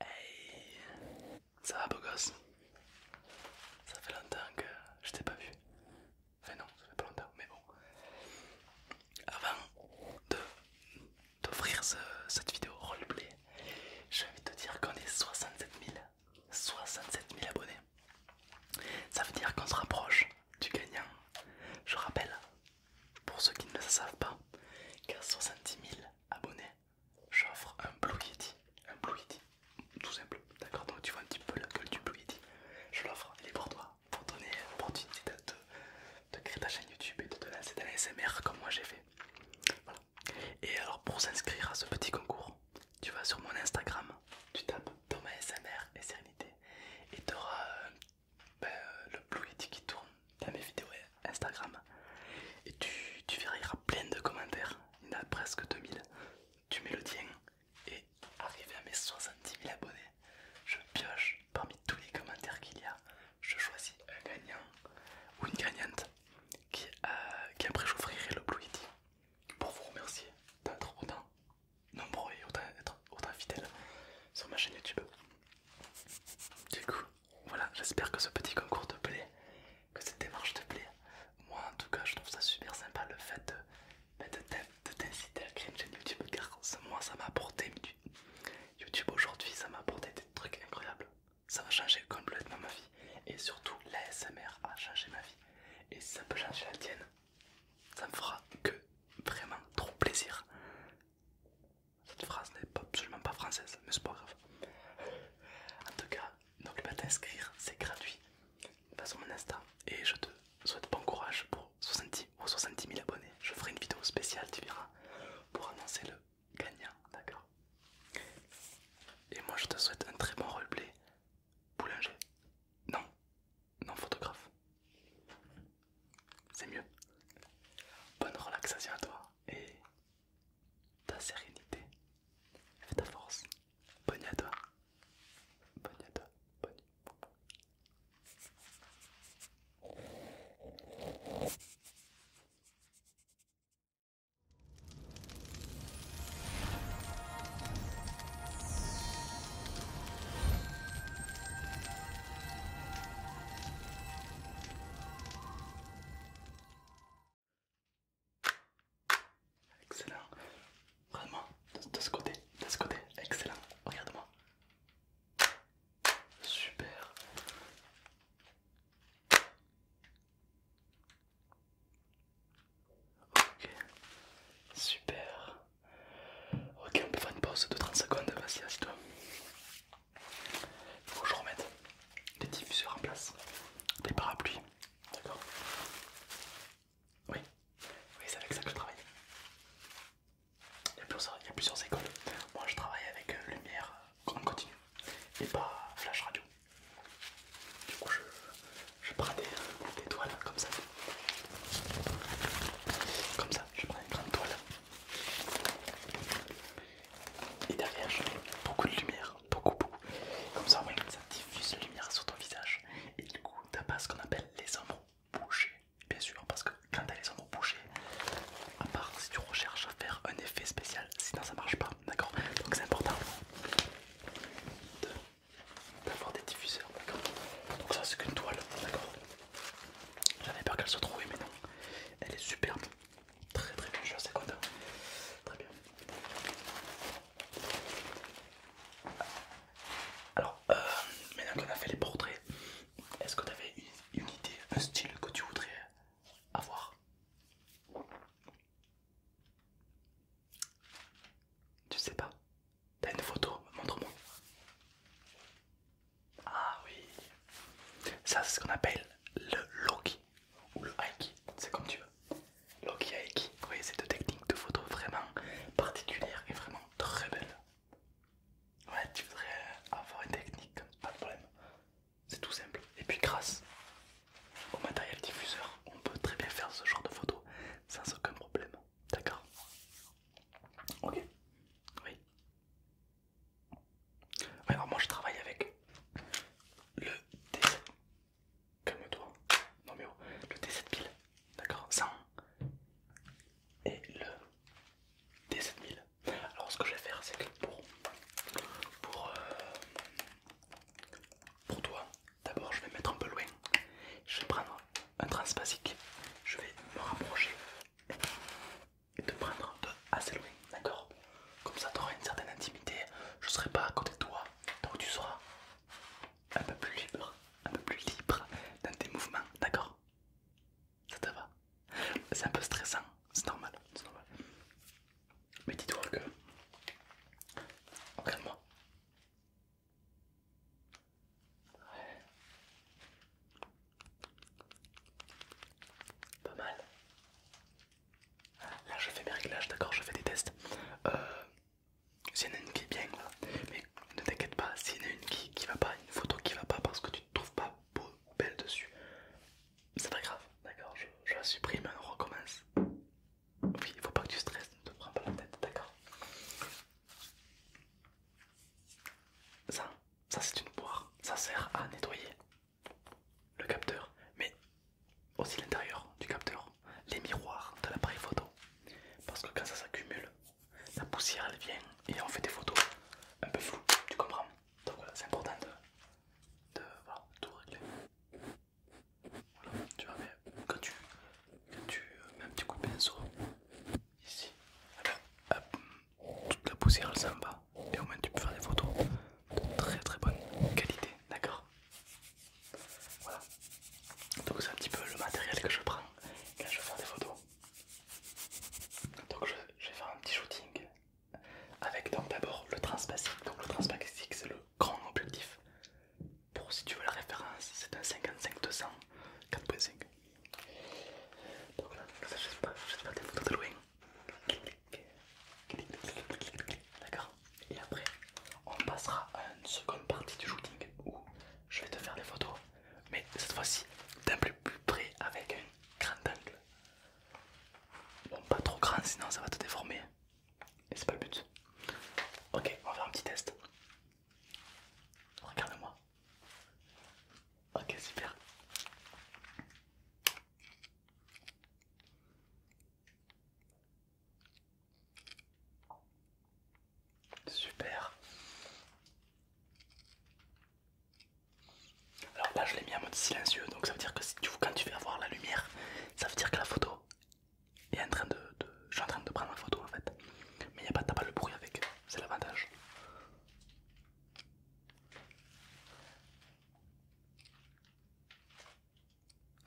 Hey Ça va beau gosse Ça fait longtemps que je t'ai pas vu. Enfin non, ça fait pas longtemps, mais bon. Avant de cette vidéo roleplay, je vais te dire qu'on est 67 000. 67 000 abonnés. Ça veut dire qu'on se rapproche du gagnant. Je rappelle, pour ceux qui ne le savent pas, qu'à 70 000 abonné, j'offre un Blue Yeti. Un Blue Yeti, tout simple, d'accord Donc tu vois un petit peu la gueule du Blue Yeti. Je l'offre, il est pour toi, pour donner l'opportunité de, créer ta chaîne YouTube et de te lancer dans l'ASMR comme moi j'ai fait. Voilà. Et alors pour s'inscrire à ce petit concours, tu vas sur mon Instagram, tu tapes Thomas SMR et Sérénité et tu auras euh, ben, euh, le Blue Yeti qui tourne dans mes vidéos Instagram. Et tu, tu verras, plein de commentaires. Il y en a presque 2000. Tu mets le tien et arrivé à mes 70 000 abonnés, je pioche parmi tous les commentaires qu'il y a. Je choisis un gagnant ou une gagnante qui, a euh, après j'offrirai le Blue pour vous remercier d'être autant nombreux et autant fidèles sur ma chaîne YouTube. Du coup, voilà, j'espère que ce petit concours te plaît, que cette démarche te plaît. Moi en tout cas je trouve ça super sympa le fait de, ben, de t'inciter à créer une chaîne YouTube car moi ça m'a apporté YouTube aujourd'hui ça m'a apporté des trucs incroyables. Ça va changer complètement ma vie et surtout l'ASMR a changé ma vie et ça peut changer la tienne, ça me fera que vraiment trop plaisir. Cette phrase n'est absolument pas française, mais c'est pas grave. En tout cas, n'oublie pas t'inscrire, c'est gratuit. Va façon, mon Insta et je te souhaite bon courage pour 70 70 000 abonnés. Je ferai une vidéo spéciale, tu verras, pour annoncer le gagnant, d'accord Et moi, je te souhaite un très bon roleplay boulanger. Non, non photographe. C'est mieux. Bonne relaxation à toi et ta sérénité et ta force. Bonne à toi. Bonne à toi. Bonne Excellent. vraiment, de, ce côté, de ce côté, excellent. Regarde-moi. Super. Ok. Super. Ok, on peut faire une pause de 30 secondes, vas-y, toi il faut que je remette les diffuseurs en place, des parapluies, d'accord Oui, c'est avec ça que je travaille. Il y, a plusieurs, écoles. Moi je travaille avec euh, lumière euh, en continu et pas flash radio. Du coup je, prends des, des toiles comme ça. Comme ça, je prends une grande toile et derrière, je mets beaucoup de lumière, beaucoup, beaucoup. Comme ça, que ça diffuse la lumière sur ton visage. Et du coup, t'as pas ce qu'on appelle les ombres bouchées. Bien sûr, parce que quand t'as les ombres bouchées, à part si tu recherches à faire un effet spécial, sinon ça marche pas, d'accord Donc c'est important d'avoir des diffuseurs, d'accord Donc ça c'est qu'une toile, d'accord J'avais peur qu'elle se trouvait, mais non. Elle est superbe. Très très bien, je suis assez content. Très bien. Alors, euh, maintenant qu'on a fait les portraits, est-ce que tu avais une idée, un style que tu voudrais avoir Tu sais pas T'as une photo Montre-moi. Ah oui, ça c'est ce qu'on appelle le Loki ou le Aiki, c'est comme tu veux. Loki Aiki, vous voyez une technique de photo vraiment particulière et vraiment très belle. Ouais, tu voudrais avoir une technique pas de problème, c'est tout simple. Et puis grâce au matériel diffuseur, on peut très bien faire ce genre de photo sans aucun problème, d'accord Ok, oui. Alors moi je travaille avec le t 7000 toi Non mais oh, le t d'accord 100 hein. et le T7000. Alors ce que je vais faire c'est que pour pour euh, pour toi, d'abord je vais me mettre un peu loin. Je vais prendre un transpasique. Je vais me rapprocher et de prendre de assez loin, d'accord Comme ça, tu auras une certaine intimité, je serai pas à côté de toi, donc tu seras un peu plus libre, un peu plus libre dans tes mouvements, d'accord Ça te va C'est un peu stressant, c'est normal, c'est normal. Mais dis-toi que... Regarde-moi. Ouais. Pas mal. Ah, là je fais mes réglages, d'accord, je fais des tests. Euh, S'il y en a une qui est bien, voilà. Mais ne t'inquiète pas, s'il y en a une qui, qui va pas, une photo qui va pas parce que tu te trouves pas beau belle dessus, c'est pas grave, d'accord, je, je la supprime et on recommence. Oui, il faut pas que tu stresses, ne te prends pas la tête, d'accord. Ça ça c'est une boire, ça sert à nettoyer le capteur, mais aussi l'intérieur du capteur, les miroirs de l'appareil photo. Parce que quand ça s'accumule, la poussière elle vient et on fait des photos un peu floues, tu comprends Donc voilà, c'est important de, tout régler. Voilà, tu vois, quand tu, mets un petit coup de pinceau ici, hop, toute la poussière elle s'en et au moins tu peux faire des photos de très très bonne qualité, d'accord Voilà, donc c'est un petit peu le matériel que je prends quand je vais faire des photos. Donc je, vais faire un petit shooting avec donc d'abord le transpacifique, donc le transpacifique c'est le grand objectif. Pour si tu veux la référence, c'est un 55-200 4.5. Donc là, je vais te faire des photos de loin. D'accord Et après, on passera à une seconde partie du shooting où je vais te faire des photos, mais cette fois-ci d'un plus près avec un grand angle. Bon, pas trop grand, sinon ça va te déformer. Et c'est pas le but. Ok, on va faire un petit test. Regarde-moi. Ok, super. Super. Alors là je l'ai mis en mode silencieux donc ça veut dire que si tu, quand tu fais avoir la lumière ça veut dire que la photo est en train de, je suis en train de prendre ma photo en fait mais il a pas t'as pas le bruit avec c'est l'avantage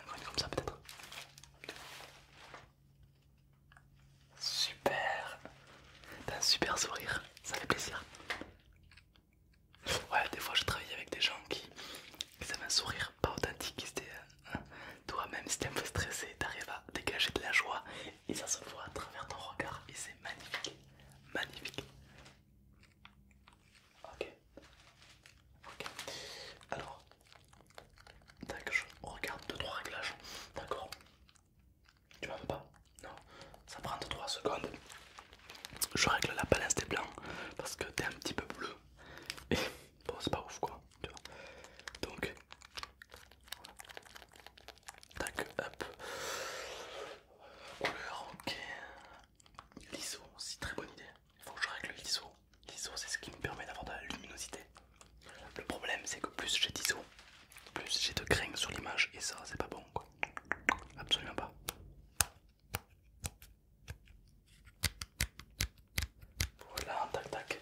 un comme ça peut-être. Super. T'as un super sourire, ça fait plaisir. Ouais, des fois je travaille avec des gens qui, avaient un sourire pas authentique, euh, Toi même si t'es un peu stressé, t'arrives à dégager de la joie et ça se voit à travers ton regard et c'est magnifique, magnifique. Ok, ok. Alors, D'accord, je regarde 2-3 réglages, d'accord Tu vois pas Non, ça prend 2-3 secondes. Je règle la balance des blancs parce que t'es un petit peu bleu et bon, c'est pas ouf quoi, tu vois. Donc, Tac, hop. Couleur, ok. L'ISO aussi, très bonne idée. Il faut que je règle l'ISO. L'ISO, c'est ce qui me permet d'avoir de la luminosité. Le problème, c'est que plus j'ai d'ISO, plus j'ai de grains sur l'image, et ça, c'est pas bon quoi. Absolument pas. Voilà, tac tac.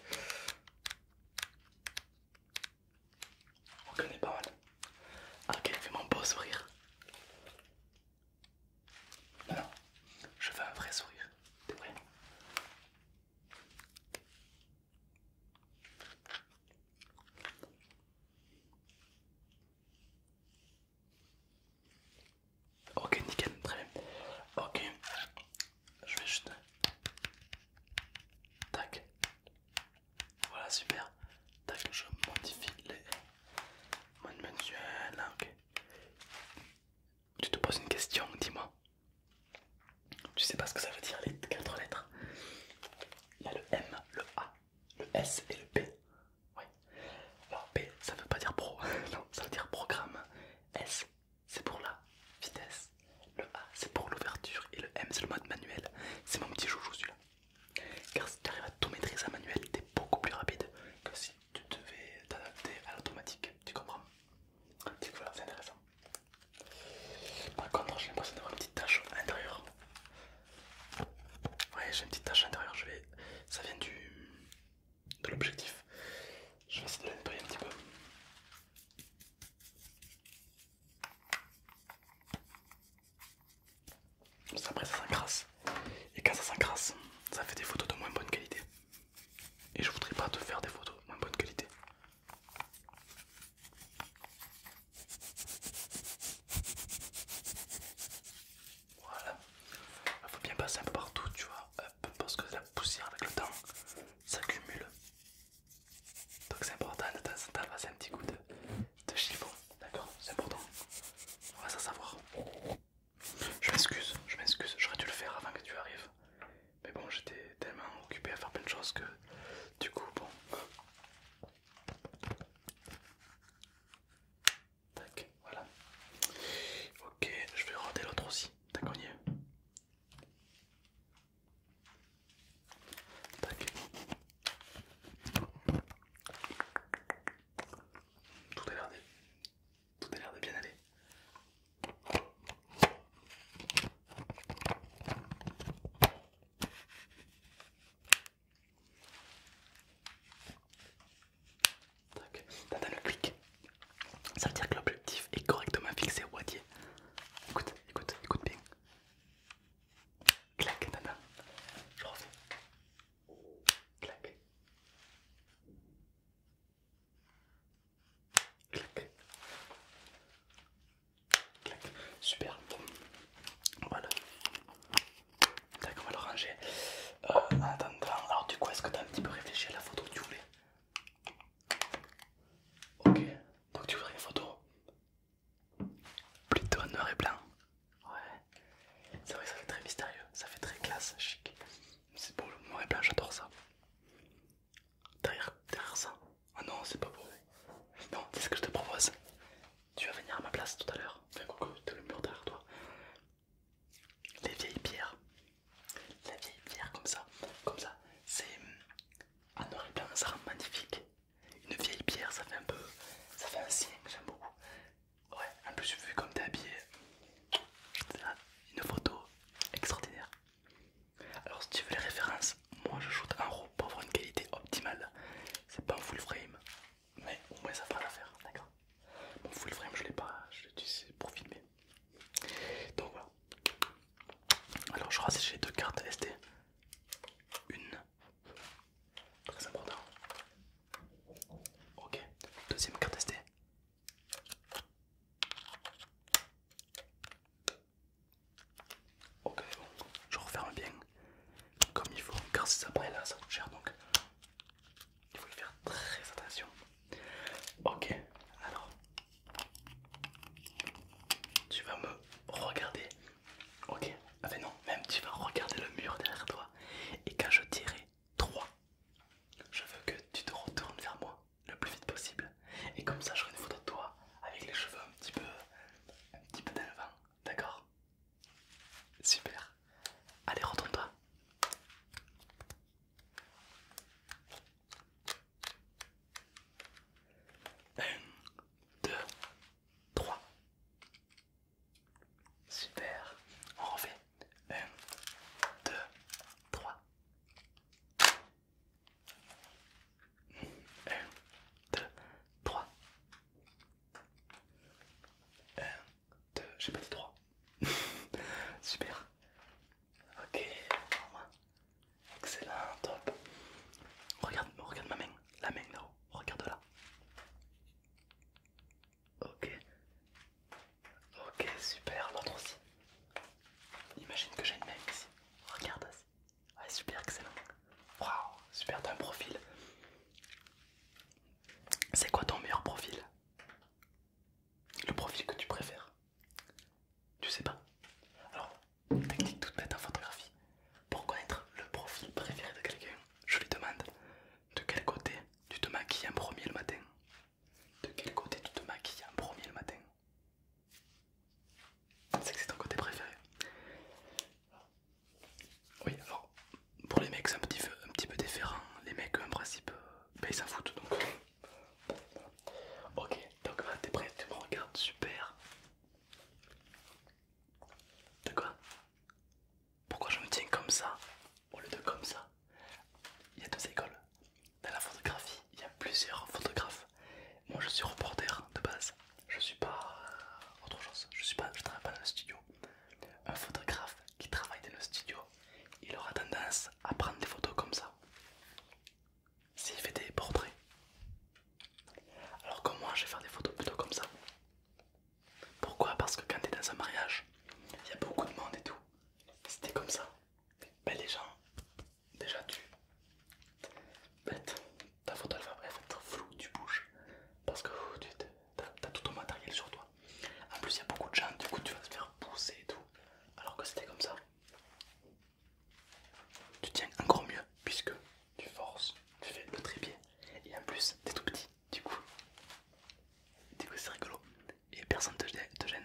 On connaît pas mal. Ah, ok fais mon beau sourire. Non, je veux un vrai sourire. T'es vrai. Ok, nickel, très bien. Ok, je vais juste Tac. Voilà, super. Tac, je modifie les ah, Tu te poses une question, dis-moi. Tu sais pas ce que ça veut dire les quatre lettres Il y a le M, le A, le S et le P. Oui. Alors P, ça veut pas dire pro, non, ça veut dire programme. S, c'est pour la vitesse. Le A c'est pour l'ouverture et le M c'est le mode manuel. C'est mon petit joujou celui-là. Car si tu arrives à tout maîtriser à manuel, t'es beaucoup plus rapide que si tu devais t'adapter à l'automatique. Tu comprends c'est intéressant. Par contre, j'ai l'impression d'avoir une petite tâche intérieure. Ouais, j'ai une petite tâche intérieure, ça vient du de l'objectif. Je vais essayer de la nettoyer un petit peu. Après ça s'encrasse. Et quand ça s'encrasse, ça fait des photos de moins bonne qualité. Et je voudrais pas te faire des photos de moins bonne qualité. Voilà. Il faut bien passer un peu partout, tu vois. Parce que la poussière avec le temps s'accumule donc c'est important de temps un petit coup de, chiffon, d'accord C'est important, on va s'en savoir. Je m'excuse, je m'excuse, j'aurais dû le faire avant que tu arrives. Mais bon, j'étais tellement occupé à faire plein de choses que du coup, bon. Tac, voilà. Ok, je vais rendre l'autre aussi. t'as on tout a l'air de... bien aller. T'as le clic. Ça veut dire que l'objectif est correctement fixé au Écoute, écoute, écoute bien. Clac, attends, Je refais. Clac. Clac. Clac. Super. Voilà. D'accord, on va le ranger. Euh, en attendant, alors du coup, est-ce que tu as un petit peu réfléchi à la photo que tu voulais Ok, donc tu voudrais une photo plutôt en noir et blanc. Ouais, c'est vrai que ça fait très mystérieux, ça fait très classe, chic. C'est beau le noir et blanc, j'adore ça. Derrière, derrière ça. Ah non, c'est pas beau. Non, c'est ce que je te propose. Tu vas venir à ma place tout à l'heure. Fais enfin, coucou, t'as le mur derrière toi. Les vieilles pierres. Les vieilles pierres, comme ça. Comme ça. C'est en noir et blanc, ça rend magnifique. Une vieille pierre, ça fait un peu. ça fait ancien, j'aime beaucoup. Ouais, en plus, vu comme t'es habillé, une photo extraordinaire. Alors, si tu veux les références, moi je shoot en RAW pour avoir une qualité optimale. C'est pas un full frame, mais au moins ça fera l'affaire, d'accord Mon full frame, je l'ai pas, je utilisé pour filmer. Donc voilà, alors je crois que j'ai deux cartes SD. Une. Très important. Ok. Deuxième carte SD. Ok bon, je referme bien comme il faut car si ça là ça coûte cher donc il faut y faire très attention. Ok alors tu vas me regarder. Ok, ah ben non, même tu vas regarder le mur derrière toi. Et quand je tirai 3, je veux que tu te retournes vers moi le plus vite possible. Et comme ça, j'aurai une photo de toi avec les cheveux un petit peu, un petit peu dans vent. D'accord Super. Allez, retourne-toi. 1, 2, 3. Super. On refait. 1, 2, 3. 1, 2, 3. 1, 2, j'ai pas dit 3. Super. Ok, excellent, top. Regarde, regarde ma main, la main là-haut, regarde là. Ok, ok, super, l'autre aussi. Imagine que j'ai une main ici, regarde. Ouais, super, excellent. Waouh, super, t'as un profil. C'est quoi ton meilleur profil Le profil que tu préfères tu sais pas Alors, technique toute bête en photographie. Pour connaître le profil préféré de quelqu'un, je lui demande de quel côté tu te maquilles en premier le matin. De quel côté tu te maquilles en premier le matin C'est que c'est ton côté préféré. Oui, alors pour les mecs c'est un petit, un petit peu différent. Les mecs en principe, ils s'en foutent donc euh, Ok, donc tu es prêt, tu me regardes, super. De quoi Pourquoi je me tiens comme ça au lieu de comme ça Il y a deux écoles. Dans la photographie, il y a plusieurs photographes. Moi je suis reporter de base. Je suis pas euh, autre chose. Je suis pas, travaille pas dans le studio. Un photographe qui travaille dans le studio, il aura tendance à prendre des photos comme ça s'il fait des portraits. Alors que moi je vais faire des photos plutôt comme ça. Pourquoi Parce que quand t'es dans un mariage, il y a beaucoup de monde et tout. C'était comme ça. Ben les gens, déjà tu... Bête ta photo elle va, être floue, tu bouges. Parce que oh, tu as, tout ton matériel sur toi. En plus il y a beaucoup de gens, du coup tu vas te faire pousser et tout. Alors que c'était comme ça tu tiens encore mieux puisque tu forces, tu fais le trépied et en plus t'es tout petit, du coup, du coup c'est rigolo et personne te, te gêne.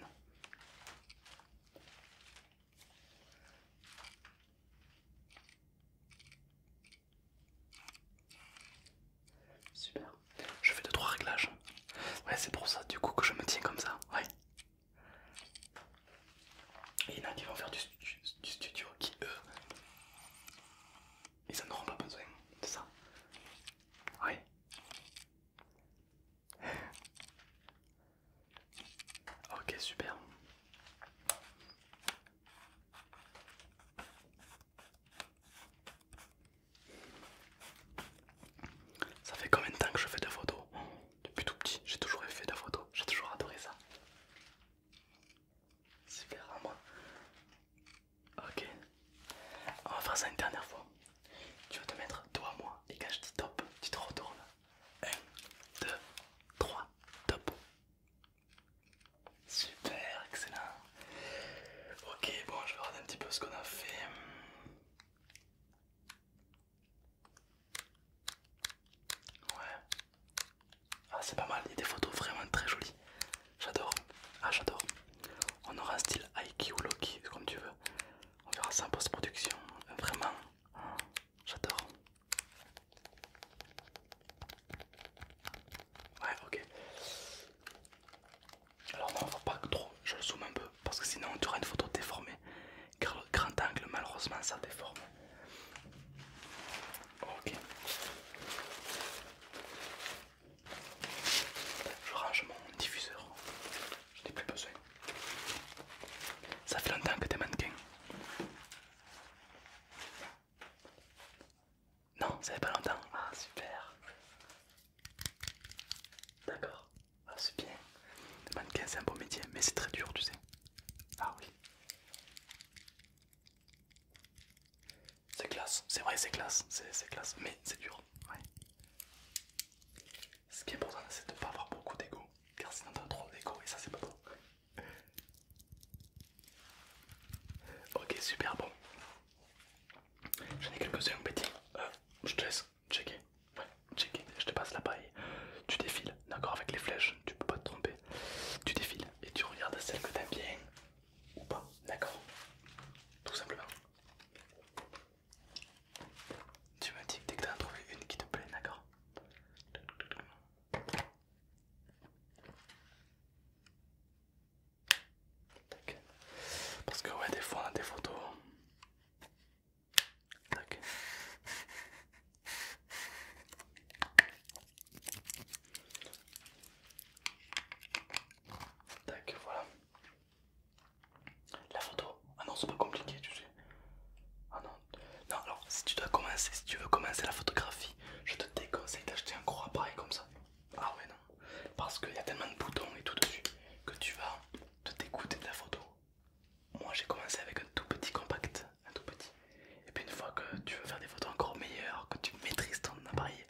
Super, je fais 2-3 réglages. Ouais, c'est pour ça du coup que je me tiens comme ça. Ouais, et il y en a qui vont faire du, studio qui eux ils en auront pas besoin, de ça Oui. ok super. Ça fait combien de temps que je fais des photos depuis tout petit, j'ai toujours fait de la j'ai toujours adoré ça. Super à hein, moi. Ok, on va faire ça une dernière fois. Tu vas te mettre toi à moi et quand je dis top, tu te retournes. 1, 2, 3, top. Super, excellent. Ok, bon, je vais regarder un petit peu ce qu'on a fait. Ouais. Ah, c'est pas mal. Il y a des photos vraiment très jolies. J'adore. Ah, j'adore. On aura un style Aiki ou Loki, comme tu veux. On verra ça post-production. Vraiment. J'adore. Ouais, ok. Alors, non, va pas trop. Je le zoome un peu parce que sinon tu auras une photo déformée grand angle malheureusement ça déforme ok je range mon diffuseur je n'ai plus besoin ça fait longtemps que t'es mannequin non ça fait pas longtemps ah super D'accord. Ah, c'est bien. Le mannequin, c'est un beau métier, mais c'est très dur, tu sais. Ah oui. C'est classe, c'est vrai, c'est classe, c'est classe, mais c'est dur. Ouais. Ce qui est important, c'est de ne pas avoir beaucoup d'ego, car sinon t'as trop d'ego et ça, c'est pas bon. Ok, super bon. J'en ai quelques-uns, petit. Euh, je te laisse checker, je te passe la paille, tu défiles, d'accord, avec les flèches, tu peux pas te tromper, tu défiles et tu regardes celle que t'aimes bien ou pas, d'accord, tout simplement. Tu me dis que dès que t'as as trouvé une qui te plaît, d'accord parce que ouais des fois on a des photos Tac. Tac, voilà. La photo, ah non, c'est pas compliqué, tu sais. Ah non, non, alors si tu dois commencer, si tu veux commencer la photographie, je te déconseille d'acheter un gros appareil comme ça. Ah ouais, non, parce qu'il y a tellement de boutons et tout dessus que tu vas te dégoûter de la photo moi j'ai commencé avec un tout petit compact, un tout petit. Et puis une fois que tu veux faire des photos encore meilleures, que tu maîtrises ton appareil,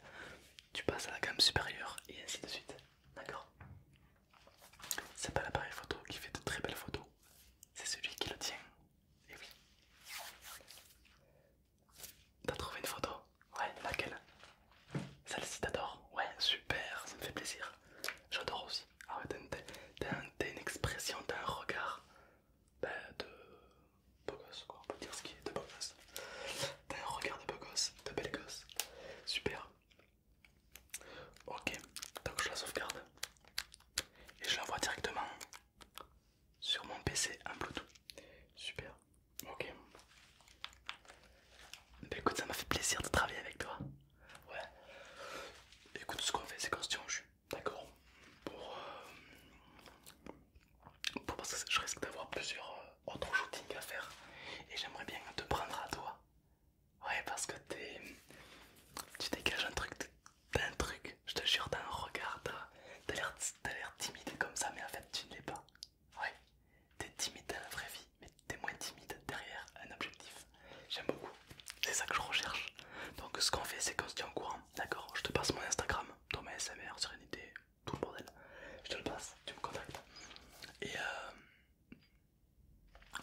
tu passes à la gamme supérieure et ainsi de suite. D'accord C'est pas l'appareil photo qui fait de très belles photos, c'est celui qui le tient. Et oui. T'as trouvé une photo Ouais, laquelle Celle-ci t'adore Ouais, super, ça me fait plaisir. J'adore aussi. Ah ouais, T'as une expression, t'as un regard bah, de beau gosse, quoi. On peut dire ce qui est de beau gosse. T'as un regard de beau gosse, de belle gosse. Super. Ok, donc je la sauvegarde et je l'envoie directement sur mon PC en Bluetooth. Super, ok. Bah écoute, ça m'a fait plaisir de travailler avec toi. Ouais. Écoute, ce qu'on fait, c'est qu'on se tient au jus, d'accord Pour. Euh, pour parce que je risque d'avoir plusieurs euh, autres shootings à faire et j'aimerais bien te prendre à toi. Ouais, parce que t'es. Tu dégages un truc, d'un un truc, je te jure, t'as un regard, t'as l'air timide comme ça, mais en fait, tu ne l'es pas. Ouais, t'es timide dans la vraie vie, mais t'es moins timide derrière un objectif. J'aime beaucoup, c'est ça que je recherche. Donc ce qu'on fait, c'est qu'on se tient au courant, d'accord Je te passe mon Instagram, ton SMR, Sérénité, tout le bordel. Je te le passe, tu me contactes. Et euh,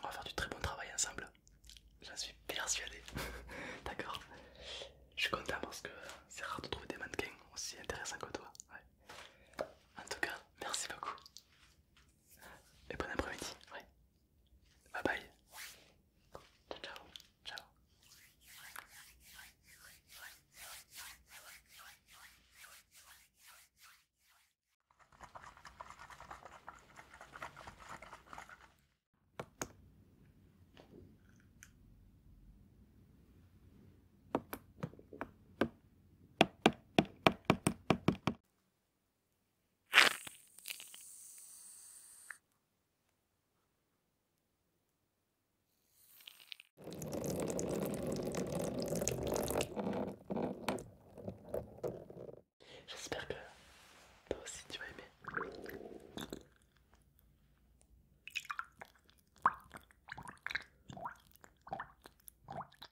on va faire du très bon travail ensemble. J'en suis persuadé, d'accord Je suis content parce que c'est rare de trouver des mannequins aussi intéressants que toi. En tout cas, merci beaucoup. Et bon après-midi. Ouais. Bye bye. Ciao ciao. Ciao. J'espère que toi aussi tu vas aimer.